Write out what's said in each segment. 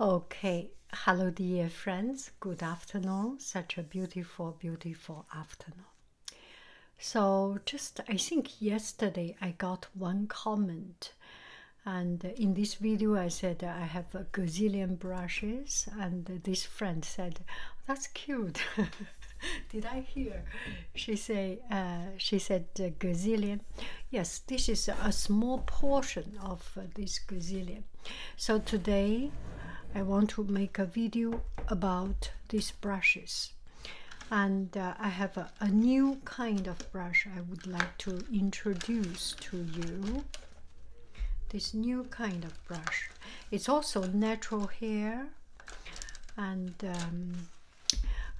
Okay, hello, dear friends. Good afternoon. Such a beautiful, beautiful afternoon. So, just I think yesterday I got one comment, and in this video I said I have a gazillion brushes, and this friend said, "That's cute." Did I hear? She say. Uh, she said gazillion. Yes, this is a small portion of uh, this gazillion. So today I want to make a video about these brushes. And uh, I have a, new kind of brush I would like to introduce to you. This new kind of brush. It's also natural hair and um,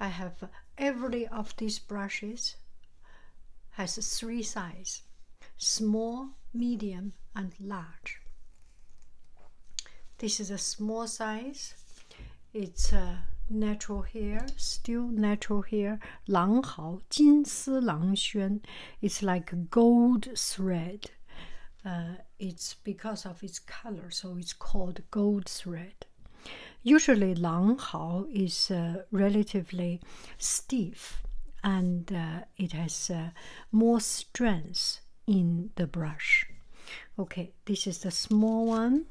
I have every of these brushes has three size small, medium, and large. This is a small size. It's uh, natural hair, still natural hair, Lang Lang Hao, Jin Xuan. It's like gold thread. Uh, it's because of its color, so it's called gold thread. Usually, Usually, langhao is uh, relatively stiff and uh, it has uh, more strength in the brush. Okay, this is the small one.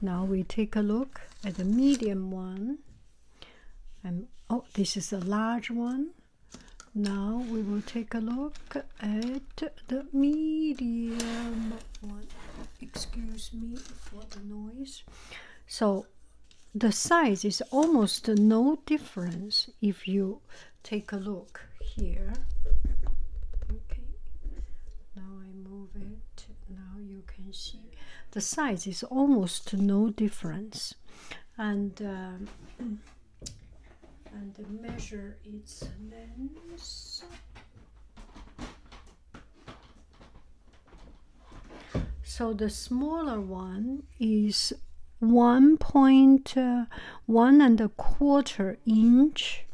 Now we take a look at the medium one. And oh, this is the large one. Now we will take a look at the medium one excuse me for the noise so the size is almost no difference if you take a look here okay now i move it now you can see the size is almost no difference and um, and measure its length so the smaller one is one point uh, one and a quarter inch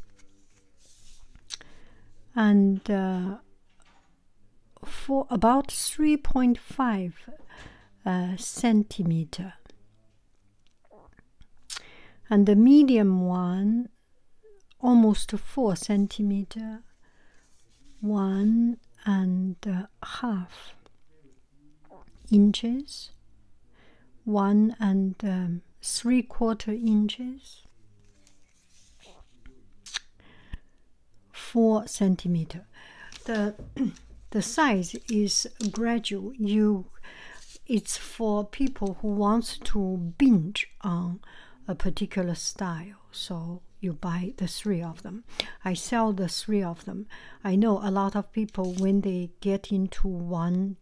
and uh, for about 3.5 uh, centimeter and the medium one almost four centimeter, one and half inches, one and um, three quarter inches, four centimeter. The the size is gradual. You it's for people who wants to binge on a particular style so you buy the three of them i sell the three of them i know a lot of people when they get into one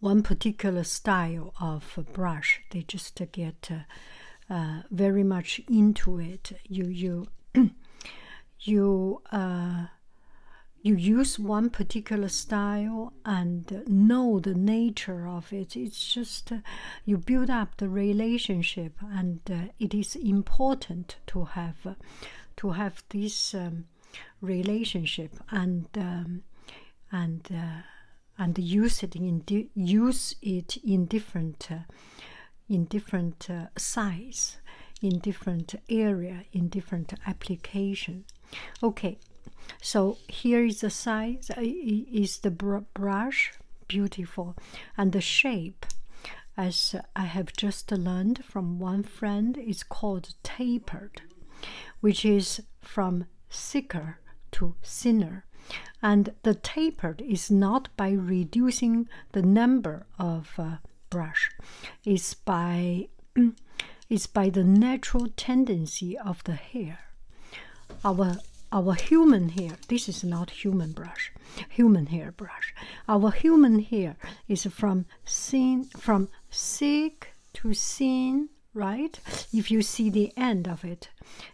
one particular style of brush they just get uh, uh, very much into it you you you uh, you use one particular style and know the nature of it. It's just uh, you build up the relationship, and uh, it is important to have to have this um, relationship and um, and uh, and use it in use it in different in different size, in different area, in different application. Okay, so here is the size, uh, is the brush, beautiful, and the shape, as I have just learned from one friend, is called tapered, which is from sicker to thinner. And the tapered is not by reducing the number of uh, brush is by is by the natural tendency of the hair our our human hair this is not human brush human hair brush our human hair is from thin from thick to thin right if you see the end of it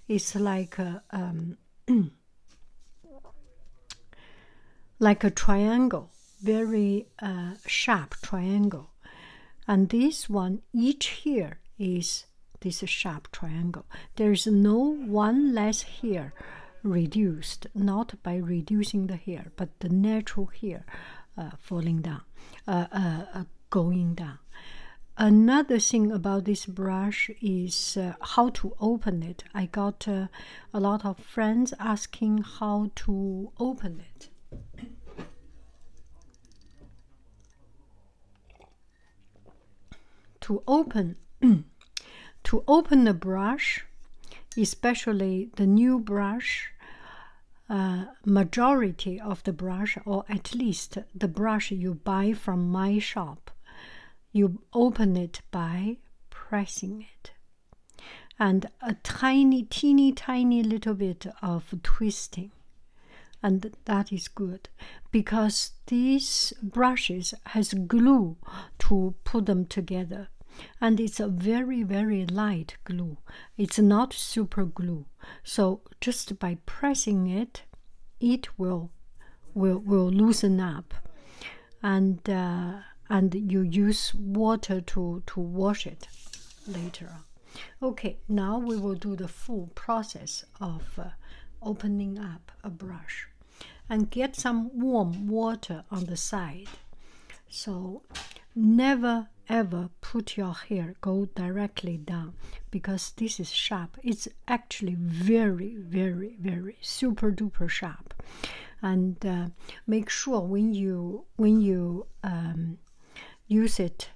it's like a um, like a triangle very a sharp triangle. And this one, each here is this sharp triangle. There is no one less here reduced, not by reducing the hair, but the natural hair uh, falling down, uh, uh, going down. Another thing about this brush is how to open it. I got a lot of friends asking how to open it. To open, to open the brush, especially the new brush, uh, majority of the brush, or at least the brush you buy from my shop, you open it by pressing it and a tiny, teeny, tiny little bit of twisting. And that is good because these brushes has glue to put them together. And it's a very, very light glue. It's not super glue. So just by pressing it, it will will will loosen up and uh, and you use water to to wash it later Okay, now we will do the full process of uh, opening up a brush and get some warm water on the side. So never ever put your hair go directly down because this is sharp. It's actually very very very super duper sharp and uh, make sure when you when you um, use it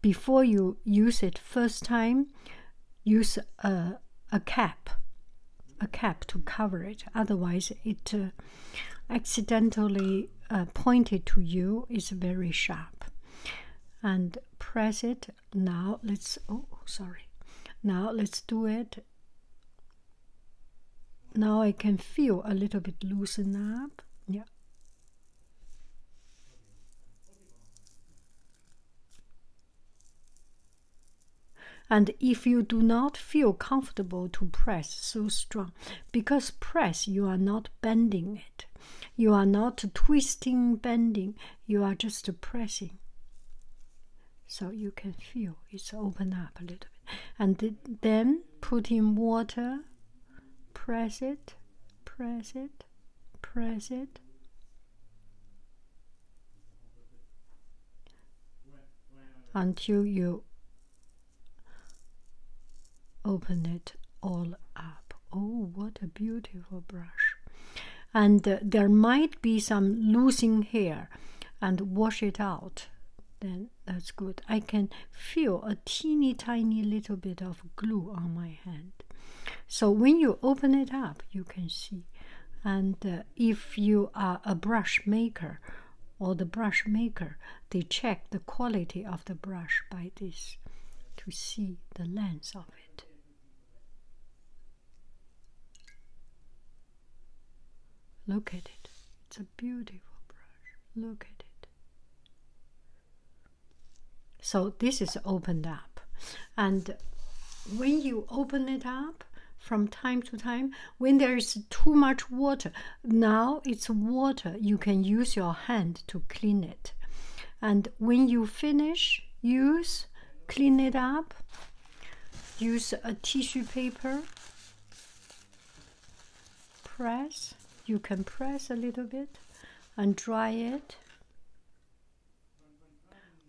before you use it first time use a, a cap a cap to cover it otherwise it uh, accidentally uh, pointed to you is very sharp and press it now let's oh sorry now let's do it now I can feel a little bit loosened up. Yeah. And if you do not feel comfortable to press so strong, because press you are not bending it, you are not twisting, bending, you are just pressing so you can feel it's open up a little bit and then put in water press it press it press it until you open it all up oh what a beautiful brush and uh, there might be some losing hair and wash it out then that's good i can feel a teeny tiny little bit of glue on my hand so when you open it up you can see and uh, if you are a brush maker or the brush maker they check the quality of the brush by this to see the length of it Look at it. It's a beautiful brush. Look at it. So this is opened up. And when you open it up from time to time, when there is too much water, now it's water, you can use your hand to clean it. And when you finish, use, clean it up, Use a tissue paper. Press. You can press a little bit and dry it.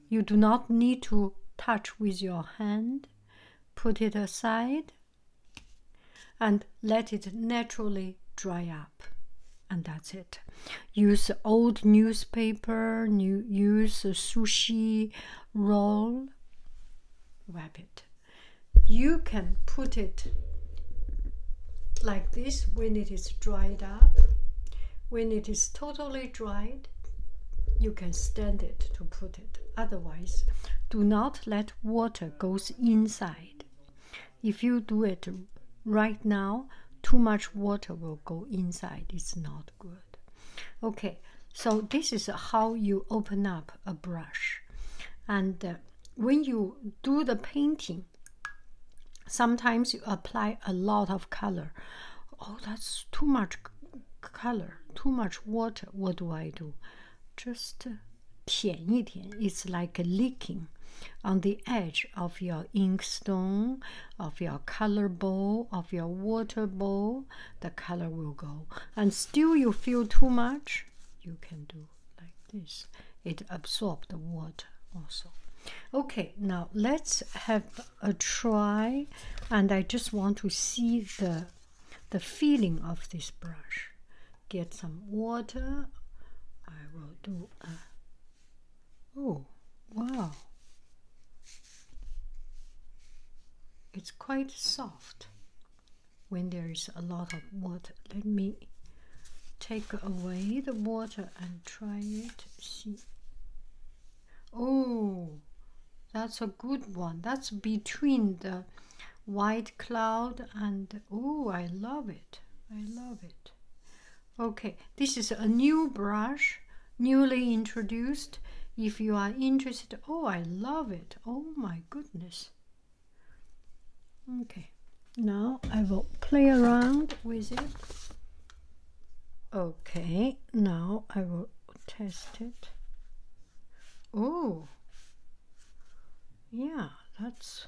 You do not need to touch with your hand. Put it aside and let it naturally dry up. And that's it use old newspaper, use a sushi roll, Wrap it. You can put it like this when it is dried up. When it is totally dried, you can stand it to put it. Otherwise, do not let water goes inside. If you do it right now, too much water will go inside it's not good okay so this is how you open up a brush and uh, when you do the painting sometimes you apply a lot of color oh that's too much color too much water what do i do just uh, it's like a leaking on the edge of your inkstone of your color bowl, of your water bowl, the color will go. And still you feel too much, you can do like this. It absorbs the water also. Okay, now let's have a try and I just want to see the the feeling of this brush. Get some water. I will do Oh, wow. It's quite soft when there is a lot of water. Let me take away the water and try it. See. Oh, that's a good one. That's between the white cloud and oh, I love it. I love it. Okay, this is a new brush, newly introduced. If you are interested, oh, I love it. Oh my goodness. Okay, now I will play around with it. Okay, now I will test it. Oh, yeah, that's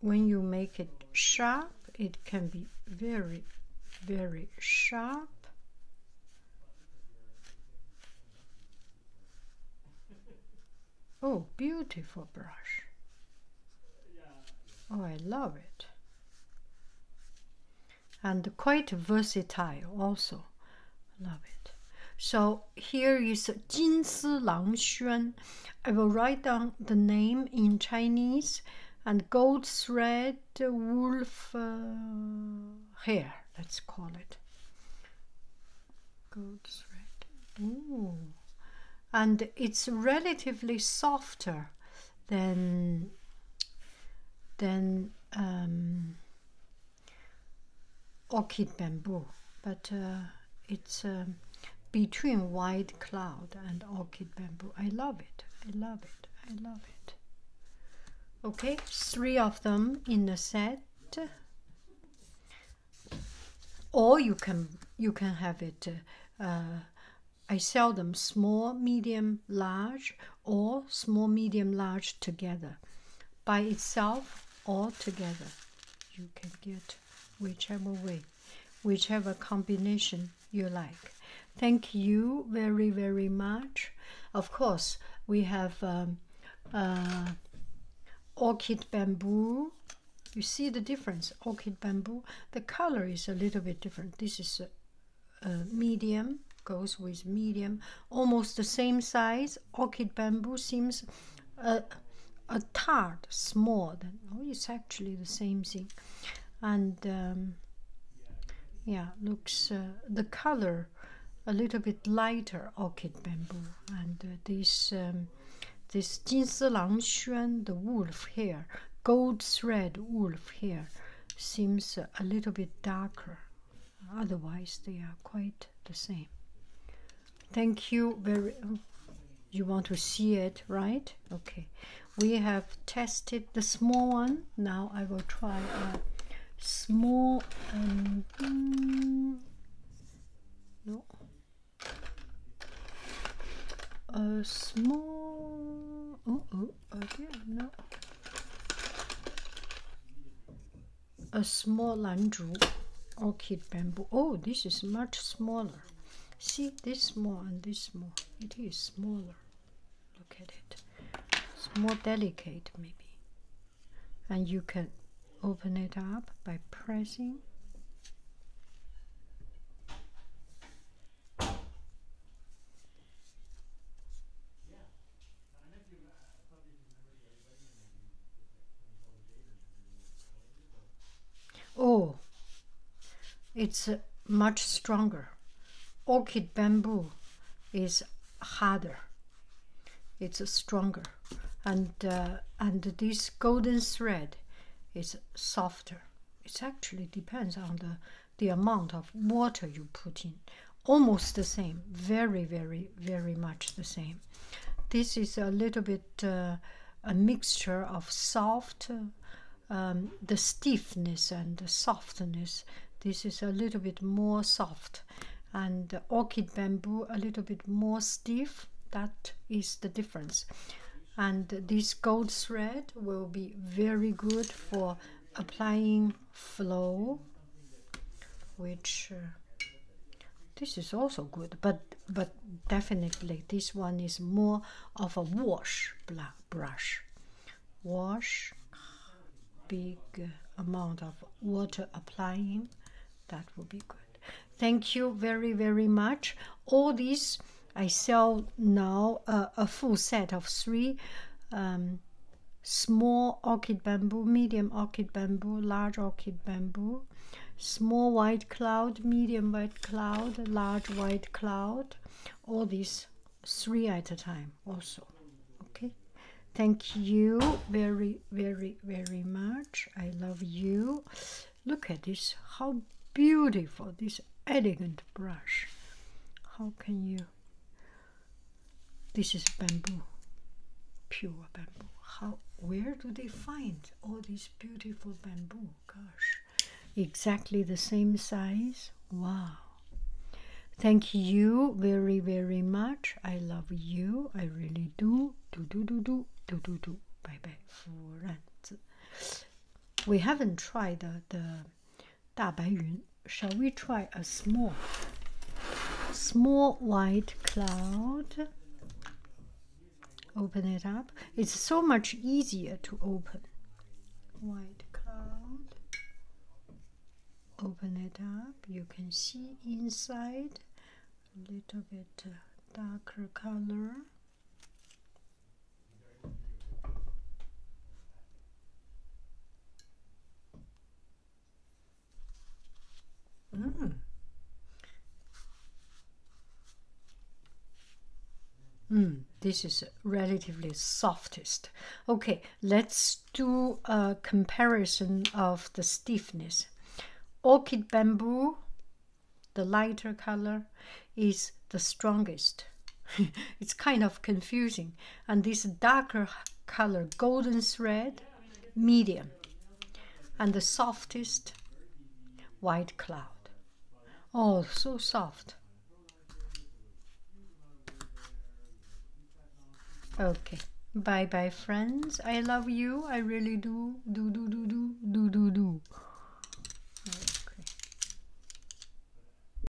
when you make it sharp it can be very very sharp oh beautiful brush oh I love it and quite versatile also love it so here is Jin Si Lang Xuan I will write down the name in Chinese and gold thread wolf uh, hair, let's call it. Gold thread. Ooh. And it's relatively softer than, than um, orchid bamboo, but uh, it's um, between white cloud and orchid bamboo. I love it. I love it. I love it. Okay, three of them in a set. Or you can you can have it. Uh, uh, I sell them small, medium, large, or small, medium, large together by itself or together. You can get whichever way, whichever combination you like. Thank you very, very much. Of course, we have um, uh, orchid bamboo. You see the difference. Orchid bamboo, the color is a little bit different. This is medium, goes with medium, almost the same size. Orchid bamboo seems a, a third small oh it's actually the same thing and um, yeah looks uh, the color a little bit lighter orchid bamboo and uh, this um, this Jin Lang Xuan the wolf hair gold thread wolf hair seems a little bit darker otherwise they are quite the same thank you very oh, you want to see it right okay we have tested the small one now i will try a small hmm, no a small oh, oh okay no a small lanzhu orchid bamboo. Oh, this is much smaller. See, this small and this small. It is smaller. Look at it. It's more delicate, maybe. And you can open it up by pressing. Oh, it's uh, much stronger. Orchid bamboo is harder. It's stronger, and uh, and this golden thread is softer. It actually depends on the the amount of water you put in almost the same, very, very, very much the same. This is a little bit uh, a mixture of soft, um, the stiffness and the softness. This is a little bit more soft, and orchid bamboo a little bit more stiff. That is the difference. And this gold thread will be very good for applying flow which uh, this is also good but but definitely this one is more of a wash brush wash big amount of water applying that will be good thank you very very much all these i sell now uh, a full set of three um, small orchid bamboo, medium orchid bamboo, large orchid bamboo, small white cloud, medium white cloud, large white cloud, all these three at a time also. Okay, thank you very, very, very much. I love you. Look at this, how beautiful this elegant brush. How can you? This is bamboo, pure bamboo. How? Where do they find all these beautiful bamboo? Gosh, exactly the same size. Wow. Thank you very very much. I love you. I really do. Do do do do do do do. Bye bye. We haven't tried the Shall we try a small, small white cloud? Open it up. It's so much easier to open. White cloud. Open it up. You can see inside a little bit uh, darker color. Mm. Mm, this is relatively softest. Okay, let's do a comparison of the stiffness. Orchid bamboo, the lighter color, is the strongest. it's kind of confusing and this darker color golden thread medium and the softest white cloud oh so soft okay bye bye friends i love you i really do do do do do do do do